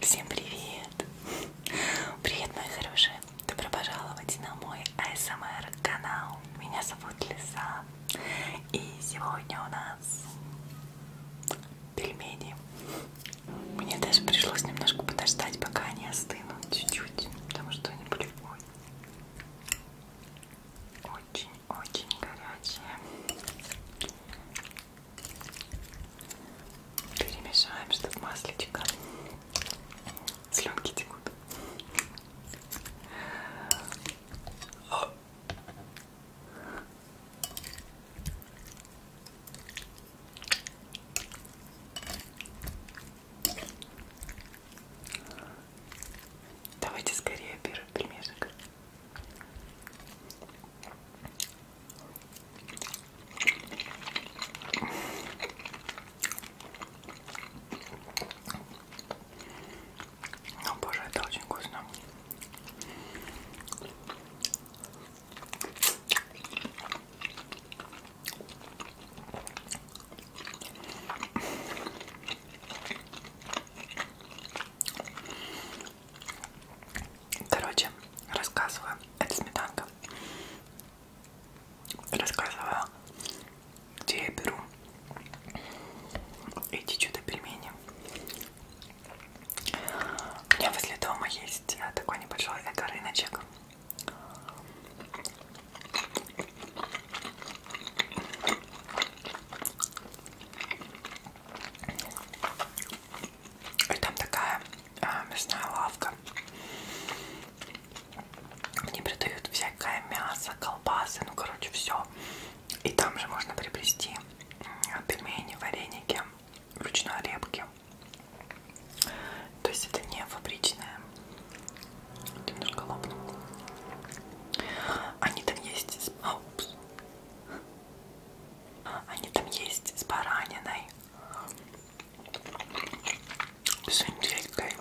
Всем привет! Привет, мои хорошие! Добро пожаловать на мой ASMR канал. Меня зовут Лиса. И сегодня у нас пельмени. Мне даже пришлось немножко подождать, пока они остынут чуть-чуть, потому что они были очень-очень горячие. Перемешаем, чтобы маслечко. Слюнки текут. Давайте скорее первый примешек. О ну, боже, это очень вкусно. Короче, рассказываю. Это сметанка. Рассказываю, где я беру эти чудо-пельмени. У меня возле дома есть э, такой небольшой эко-рыночек. И там такая а, мясная лавка. Мне продают всякое мясо, колбасы, ну короче все. И там же можно приобрести пельмени, вареники, ручной репки. То есть это не фабричное. Немножко лопнул. Они там есть с, О, а, с они там есть с бараниной, с индейкой.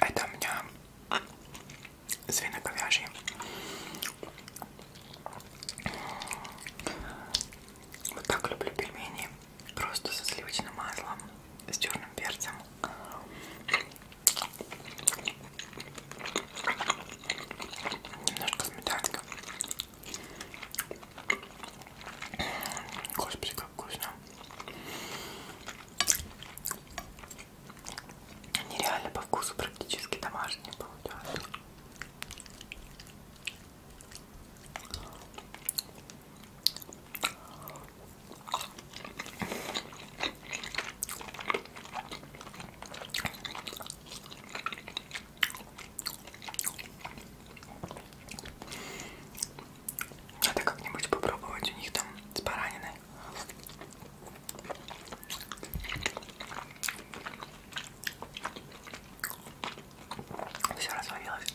Это у меня свиноговяжьи. Вот так люблю пельмени просто со сливочным маслом, с черным перцем. Немножко сметанка. Господи, как вкусно. Нереально по вкусу практически домашние получаются. Надо как-нибудь попробовать у них там с бараниной. Все развалилось.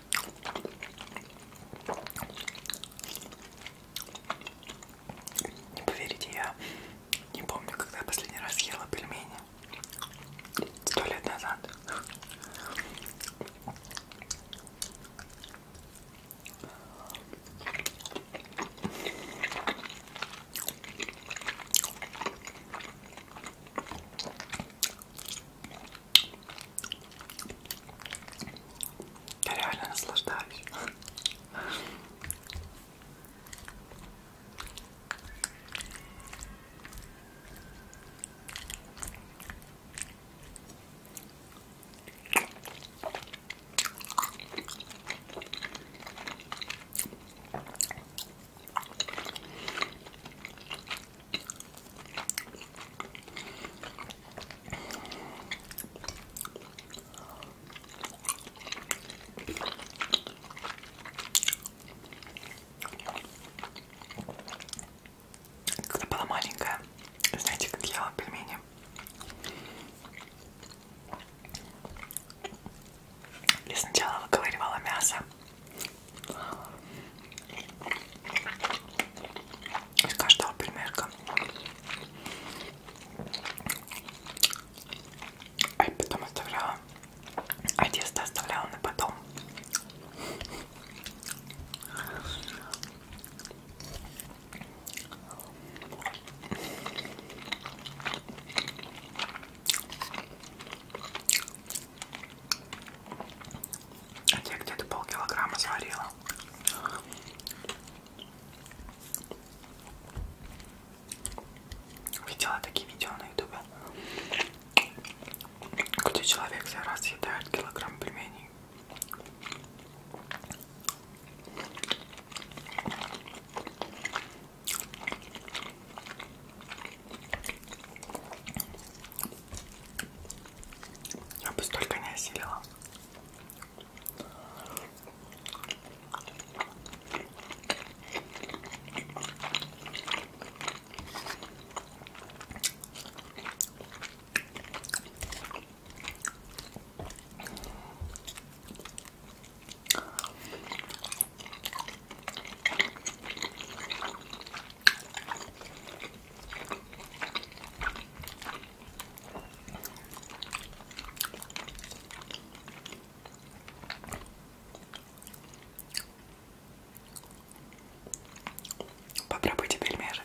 Не поверите, я не помню, когда я последний раз ела пельмени. Сто лет назад. Я реально наслаждаюсь. Когда была маленькая, знаете, как я ела пельмени? Я сначала выковыривала мясо, из каждого примерка а я потом оставляла а тесто оставляла на потом я где-то полкилограмма сварила. Видела такие видео на ютубе, где человек за раз съедает килограмм пельменей. Я бы столько не осилила. Попробуйте пельмешек.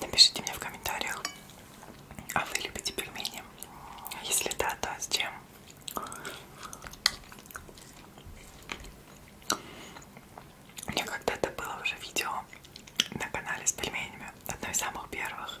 Напишите мне в комментариях, а вы любите пельмени? Если да, то с чем? У меня когда-то было уже видео на канале с пельменями, одно из самых первых.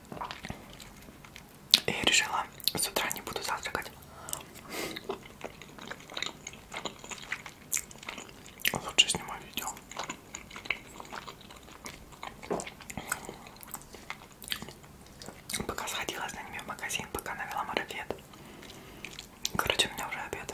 И решила, с утра не буду завтракать. Лучше сниму видео. Пока сходила с ними в магазин, пока навела марафет. Короче, у меня уже обед.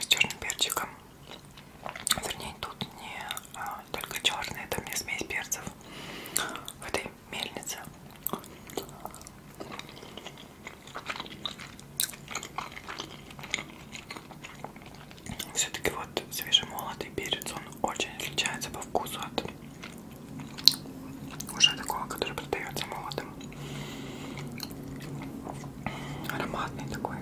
с черным перчиком. Вернее, тут не а, только черный, это мне смесь перцев в этой мельнице. Все-таки вот свежемолотый перец, он очень отличается по вкусу от уже такого, который продается молотым. Ароматный такой.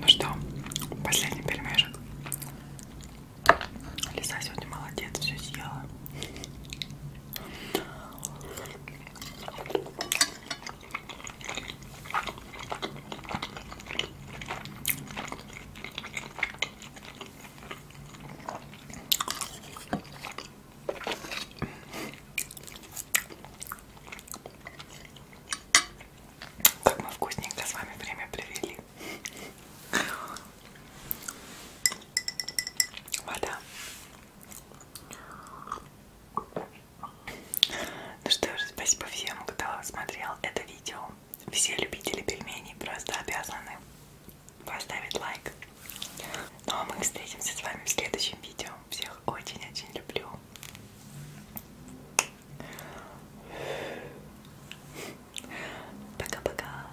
Ну что, последний пельмешек. Лиса сегодня молодец, все съела. Как мы вкусненько с вами время провели. Вода ну что же, спасибо всем, кто смотрел это видео. Все любители пельменей просто обязаны поставить лайк. Ну а мы встретимся с вами в следующем видео. Всех очень-очень люблю. Пока-пока.